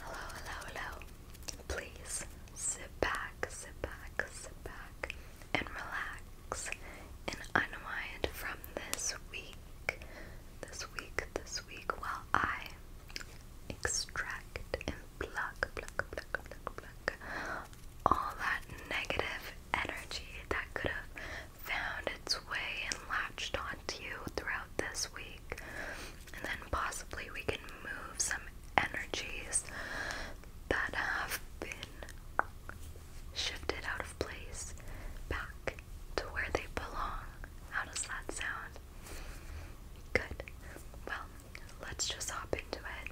Hello, hello, hello. Please sit back, sit back, sit back, and relax and unwind from this week, this week, this week, while I extract and block, block, block, block, block all that negative energy that could have found its way and latched onto you throughout this week. And then possibly we can move some energies that have been shifted out of place back to where they belong. How does that sound? Good. Well, let's just hop into it.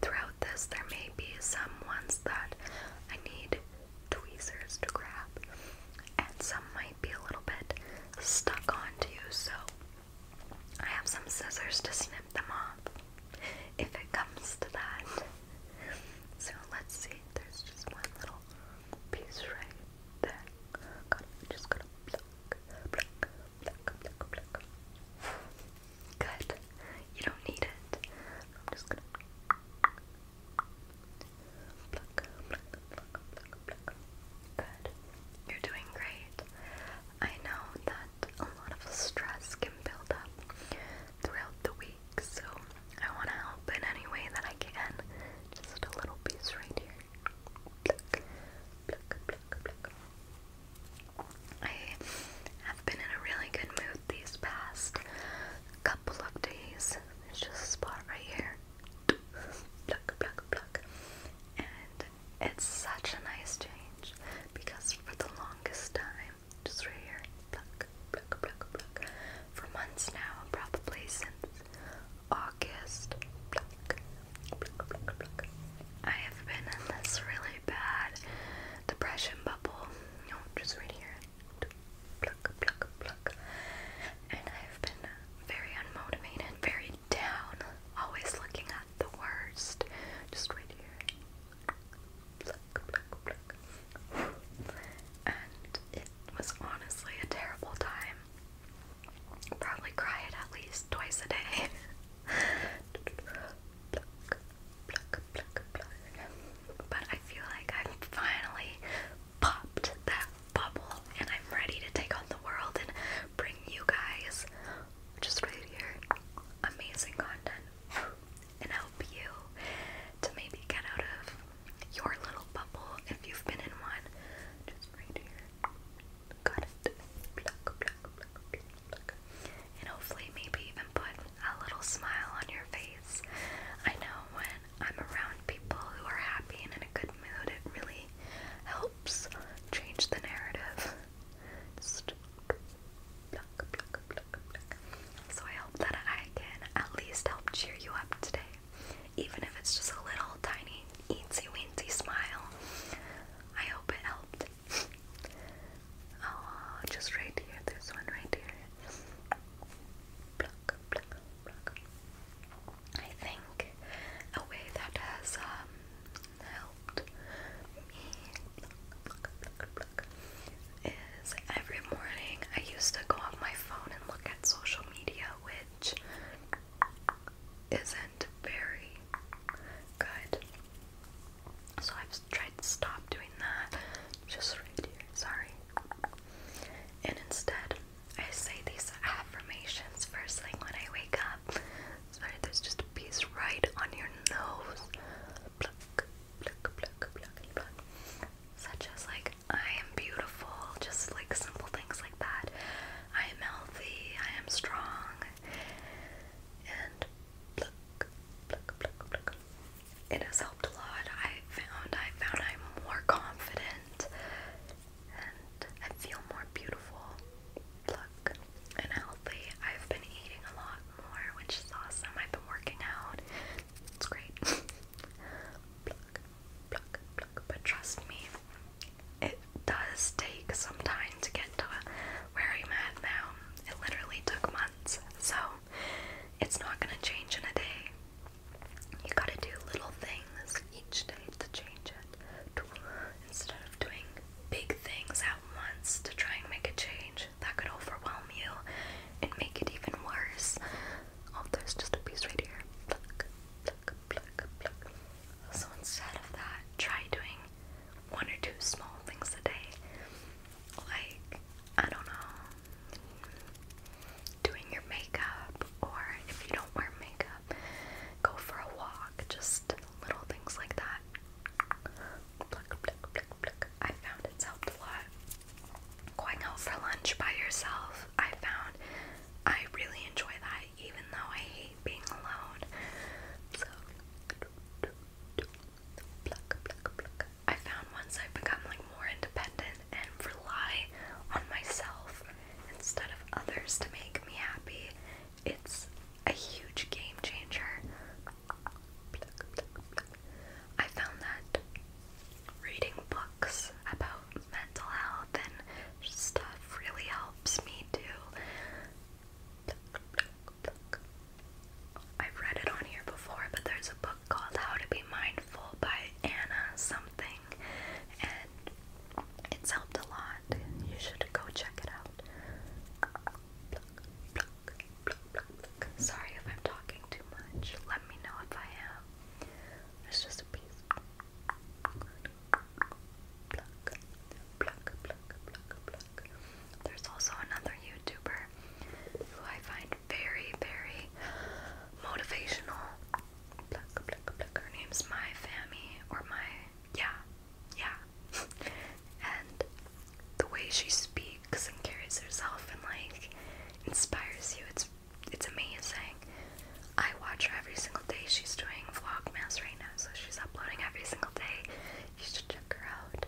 Throughout this, there may be some ones that I need tweezers to grab, and some be a little bit stuck onto you, so I have some scissors to snip them off if it comes to that. So let's see, there's just one little piece right there. Just gotta pluck, You don't need it. Good. You're doing great. I know that a lot of stress can build up throughout the week, so I want to help in any way that I can. Just a little piece right here. I have been in a really good mood these past couple of days. just a spot right here pluck, pluck, pluck. And it's such a nice change because for the longest time, just right here, pluck, pluck, pluck, pluck. For months now, probably since August, pluck, pluck, pluck, pluck. I have been in this really bad depression bubble. No, just right here. Pluck, and I've been very unmotivated, very down, always looking at the worst. Just right here. And it was honestly a terrible time. Probably cried at least twice a day. But I feel like I'm finally popped that bubble, and I'm ready to take on the world and bring you guys just right here amazing content and help you to maybe get out of your little bubble if you've been in one. Just right here. Got it. And hopefully, maybe even put a little smile on your face. I know when I'm around people who are happy and in a good mood. It really helps change the narrative. So I hope that I can at least help cheer you up today. Even if it's just a little tiny eensy weensy smile. I hope it helped. oh, just right here. This one right here. I think a way that has um, helped me is every morning I used to go on my phone and look at social media, which isn't very good. So I've tried to stop doing that. Just right here, sorry. And instead, I say these affirmations first thing when I wake up. Sorry, there's just a piece right on your nose. Such as, like, I am beautiful, just like simple things like that. I am healthy, I am strong. And It has helped a lot. I found I found I'm more confident and I feel more beautiful, look, and healthy. I've been eating a lot more, which is awesome. I've been working out. It's great. pluck, pluck, pluck. But trust me, it does take some time to get to where I'm at now. It literally took months. So it's not gonna change in a day. You gotta do little things each day to change it. Instead of doing big things at once to try and make a change, that could overwhelm you and make it even worse. Oh, there's just a piece right here. So instead of that, try doing one or two small things a day. Like, I don't know, doing your makeup, or if you don't wear makeup, go for a walk. Just little things like that. I found it's helped a lot. Going out for lunch by yourself, I found I really enjoy that, even though I hate being alone. So, I found once I've become like more independent and rely on myself instead of others to make me happy. It's a huge game changer. I found that reading books about mental health and stuff really helps me too. I've read it on here before, but there's a book called How to Be Mindful by Anna something, and it's helped a lot. You should go check it out. Sorry if I'm talking too much. Let me know if I am. It's just a piece. There's also another YouTuber who I find very, very motivational. Her name's My Fammy, or My. Yeah, yeah. and the way she speaks and carries herself and, like, inspires you, it's, it's amazing. I watch her every single day. She's doing Vlogmas right now, so she's uploading every single day. You should check her out.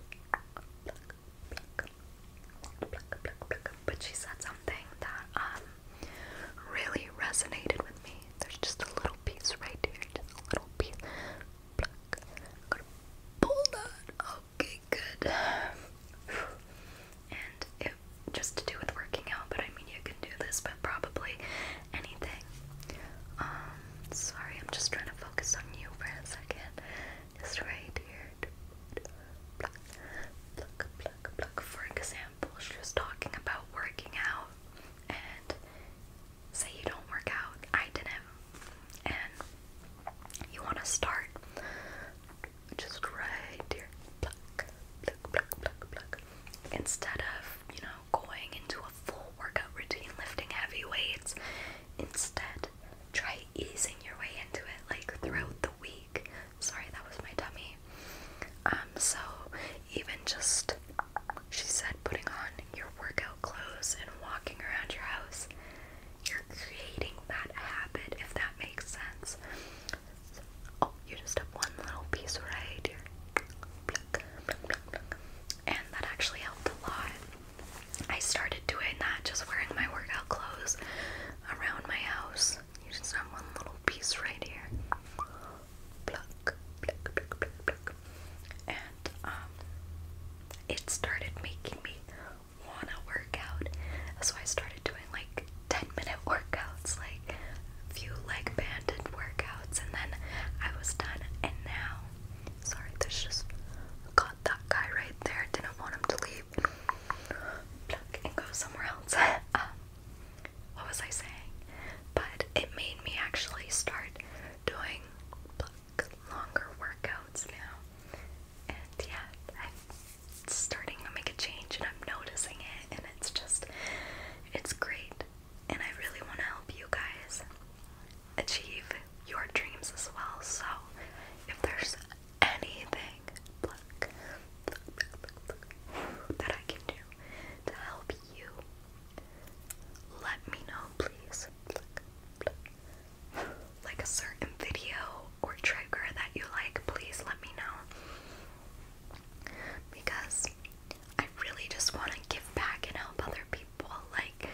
But she said something that, um, really resonated with me. There's just a little piece right here, just a little piece. Okay, good. And just to do with working out, but I mean you can do this, but probably anything. Um, sorry, I'm just trying to focus on you for a second. Just right here. For example example, talking about working out and say you don't work out, I didn't, and you want to start just right here, instead of, you know, going into a full workout routine, lifting heavy weights, instead try easing your way into it, like throughout the week Sorry, that was my dummy. Um, so even just she said putting on your workout clothes and walking around your house, you're creating that habit if that makes sense. So, oh, you just have one little piece right here. And that actually helped a lot. I started doing that just wearing my workout clothes around my house. You just have one little piece right here. And um, it started making me wanna work out. That's why I started doing like 10 minute workouts, like a few leg band and workouts, and then I was done. And now, sorry, this just got that guy right there. Didn't want him to leave. and go somewhere else. Um, what was I saying? But it made me actually start doing longer workouts now. And yeah, I'm starting to make a change and I'm noticing it and it's just it's great. And I really want to help you guys achieve your dreams as well. So if there's anything that I can do to help you? Let me know, please. Like a certain video or trigger that you like, please let me know. Because I really just want to give back and help other people. Like,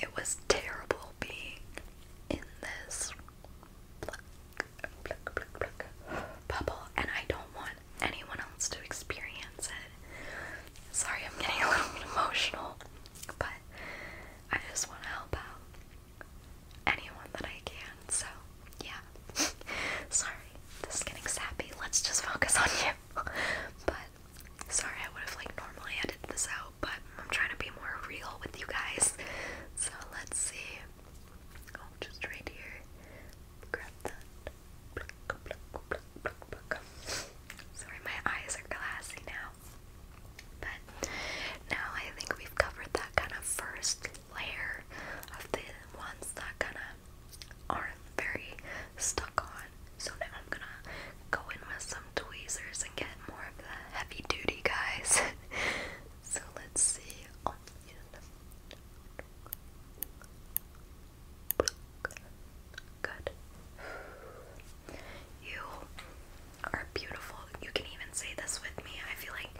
it was terrible being in this bubble, and I don't want anyone else to experience it. Sorry, I'm getting a little bit emotional, but I just want to help out anyone that I can. So, yeah. Sorry, this is getting sappy. Let's just focus on you. but sorry, I would have like normally edited this out, but I'm trying to be more real with you guys. So let's see. Oh, just right here. Sorry, my eyes are glassy now. But now I think we've covered that kind of first layer of the ones that kind of aren't very stuck on. So now I'm gonna go in with some tweezers and get more of the heavy duty guys. so let's see. Oh, Good. You are beautiful. You can even say this with me. I feel like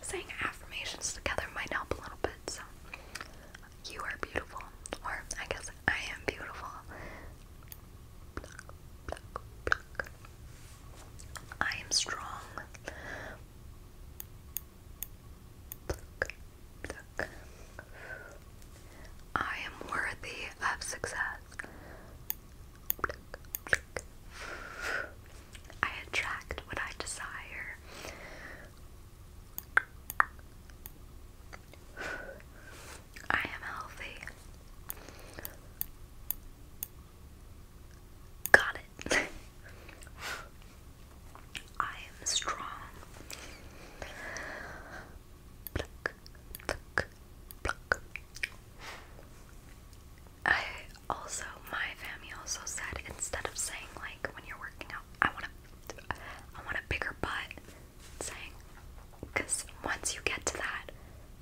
saying affirmations together might help a little bit. So, you are beautiful, or I guess I am beautiful. I am strong. I am worthy of success. I attract what I desire. I am healthy. Got it. I am strong. Pluck, pluck, pluck. I also, my family also said instead of saying like when you're working out, I want a, I want a bigger butt. Saying, once you get to that,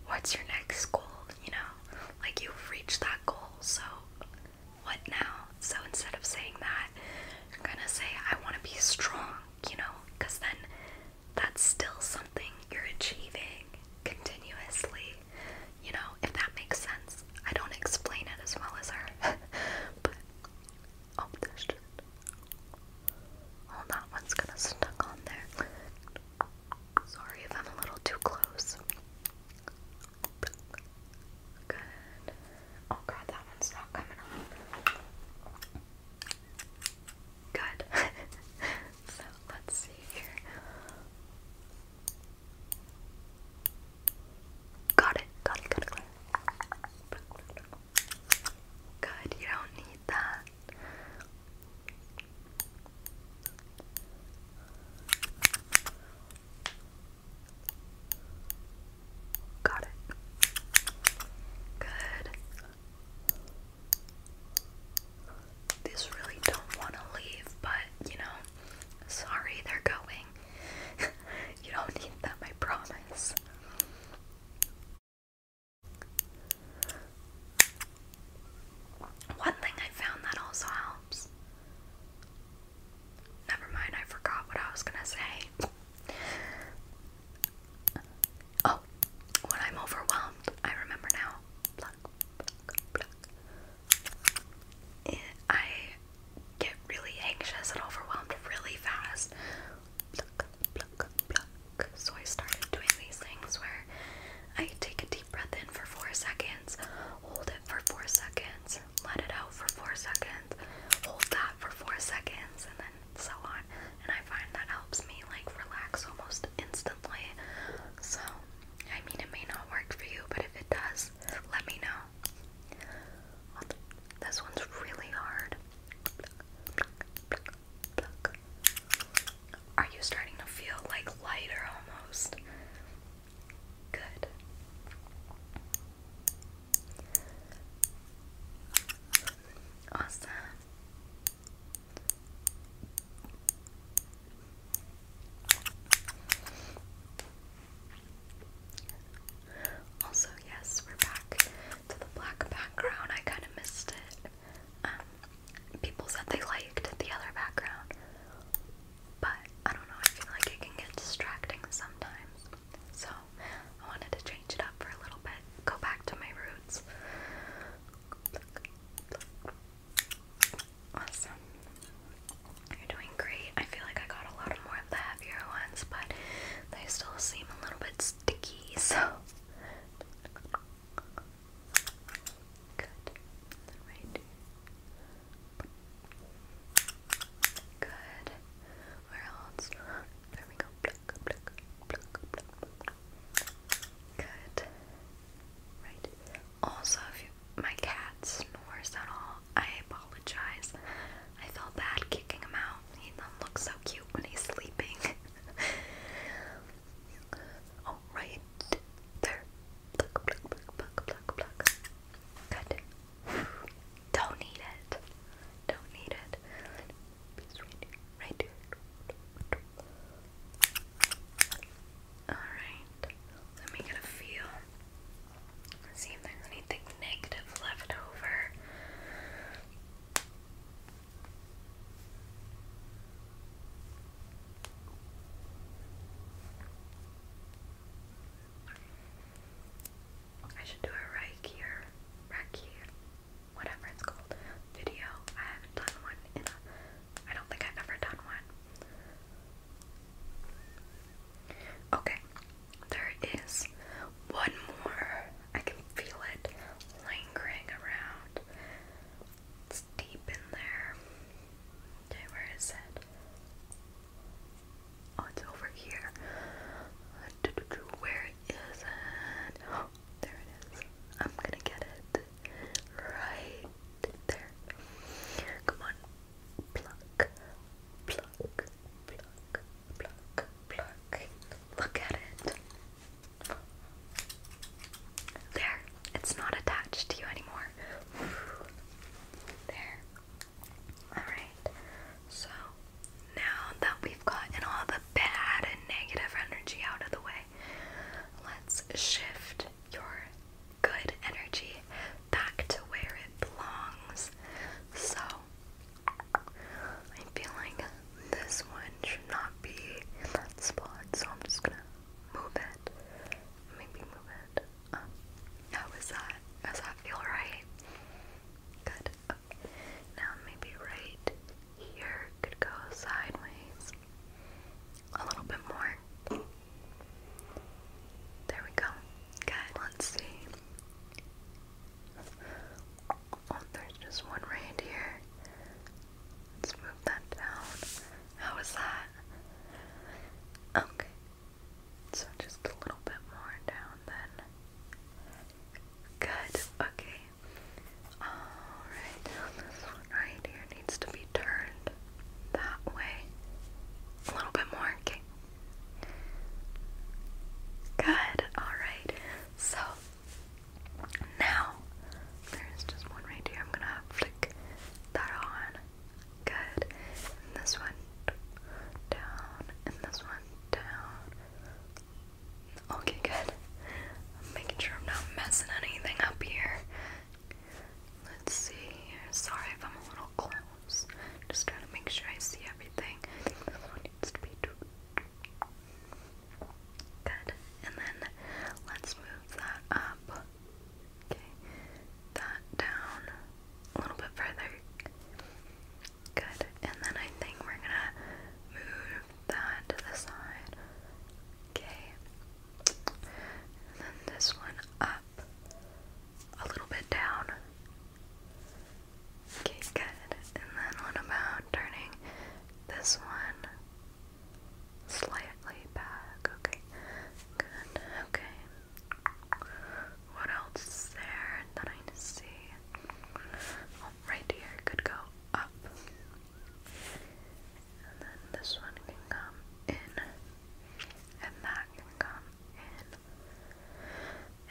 what's your next goal? You know, like you've reached that goal, so what now? So instead of saying that, I'm gonna say, I wanna be strong, you know? Because then that's still something you're achieving continuously, you know? If that makes sense. I don't explain it as well as her. but, oh, there's just. Oh, that one's gonna stuck on there. Sorry if I'm a little too close. Good. Oh god, that one's not coming off. Good. so let's see here. got it, got it, got it. Good, you don't need that. Got it. Good. These really don't want to leave, but you know, sorry they're going. you don't need them, I promise. One thing I found that also helps Never mind, I forgot what I was gonna say. Oh, when I'm overwhelmed, I remember now. I get really anxious and overwhelmed really fast. So I started doing these things where I take a deep breath in for four seconds, hold it for four seconds, let it out for four seconds, hold that for four seconds, and then so on. And I find that helps me like relax almost instantly. So, I mean, it may not work for you, but if it does, let me know. This one's really hard. Are you starting to feel like lighter almost? Good. Awesome. Also, yes, we're back to the black background. I kind of missed it. Um, people said they liked the other background. But I don't know, I feel like it can get distracting sometimes. So I wanted to change it up for a little bit, go back to my roots. Awesome. You're doing great. I feel like I got a lot more of the heavier ones, but they still seem a little bit sticky, so. Good. Right. Good. Where else? There we go. Good. Right. Also, if my cat snores at all, I apologize. I felt bad kicking him out. He does um, so cute when he's sleeping. All right. There. Good. Don't need it. Don't need it. Alright. Let me get a feel. see if there's anything negative left over. I should do a Reiki Reiki, whatever it's called, video. I haven't done one in I don't think I've ever done one. Okay, there is one more. I can feel it lingering around. It's deep in there where is it? Oh, it's over here. Where is it? there it is. I'm gonna get it. Right there. Come on. Pluck, pluck, pluck, pluck, pluck. Look at it. There. It's not attached to you anymore. There. Alright, so now that we've gotten all the bad and negative energy out of the way, let's shift your good energy back to where it belongs. So, I'm feeling this one should not be spot, so I'm just gonna move it. Maybe move it um, how is that? Does that feel right? Good. Now maybe right here could go sideways a little bit more. There we go. Good. Let's see. Oh, there's just one right here. Let's move that down. How is that? Okay. So just a little bit more down then. Good, okay. Alright, this one right here needs to be turned that way. A little bit more, okay. Good, alright. So now there's just one right here. I'm gonna flick that on. Good. this one down. And this one down. Okay, good. I'm making sure I'm not messing anything up here. Let's see here. Sorry if I'm a little close. Just trying to make sure I see everything. this one needs to be Good. And then let's move that up. Okay, that down a little bit further. Good, and then I think we're gonna move that to the side. Okay, then this one up, a little bit down. Okay, good. And then what about turning this one slightly back? Okay, good. Okay, what else is there that I see? Oh, right here could go up. And then this one can come in. And that can come in.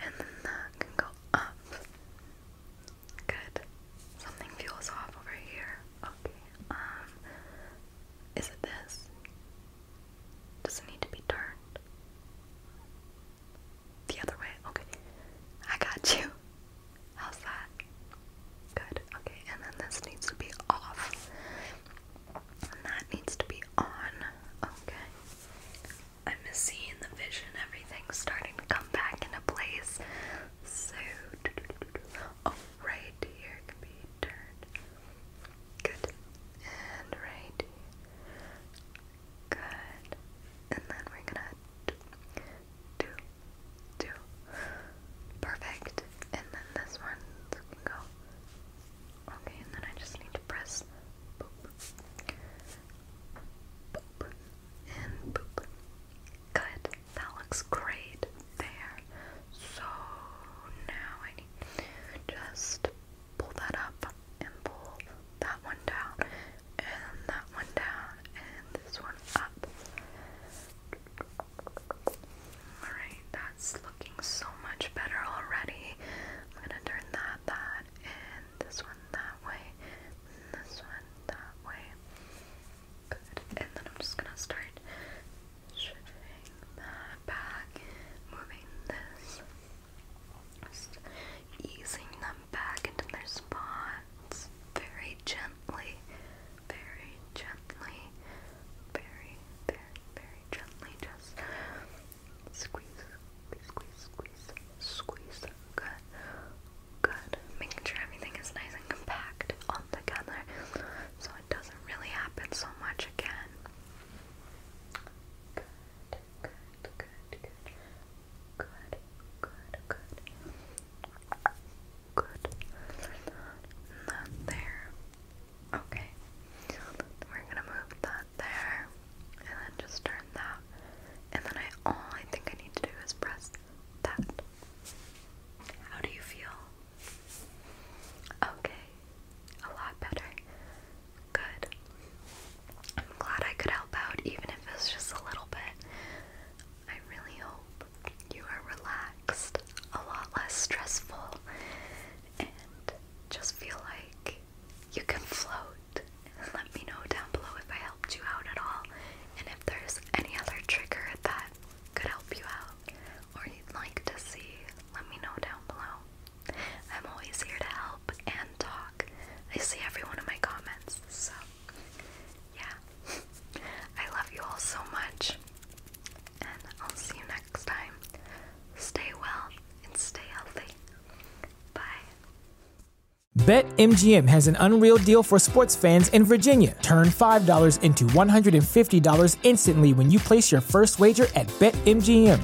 And then that can go up. Good. Something feels off over here. Okay. Um, is it this? Does not need to be turned? The other way? Okay. I got you. How's that? Good. Okay, and then this needs to be off. And that needs to be on. Okay. I'm seeing the vision, everything's starting to come back into place. So, oh, right here can be turned. Good. And right. Good. And then we're gonna do, do, do. Perfect. And then this one go. Okay, and then I just need to press And Good. That looks great there. So now I need just pull that up and pull that one down and that one down and this one up. Alright, that's looking so much better already. I'm gonna turn that, that, and this one that way, this one that way. And then I'm just gonna start shifting that back, moving this just easing them back into their spots very gently, very gently, very, very, very gently. Just squeeze, squeeze, squeeze, squeeze. Good, good. Making sure everything is nice and compact all together so it doesn't really happen so much again. Good, good, good, good. Good, good, good. Good. That there. Okay. We're gonna move that there. And then just turn that. And then I all I think I need to do is press that. How do you feel? Okay. A lot better. Good. I'm glad I could help out, even if it's just a little bit. I really hope you are relaxed, a lot less stressful, and just feel like you can float. Let me know down below if I helped you out at all, and if there's any other trigger that could help you out or you'd like to see, let me know down below. I'm always here to help and talk. I see every one of my comments, so yeah. I love you all so much, and I'll see you next time. Stay well and stay healthy. Bye. BetMGM has an unreal deal for sports fans in Virginia. Turn $5 into $150 instantly when you place your first wager at BetMGM.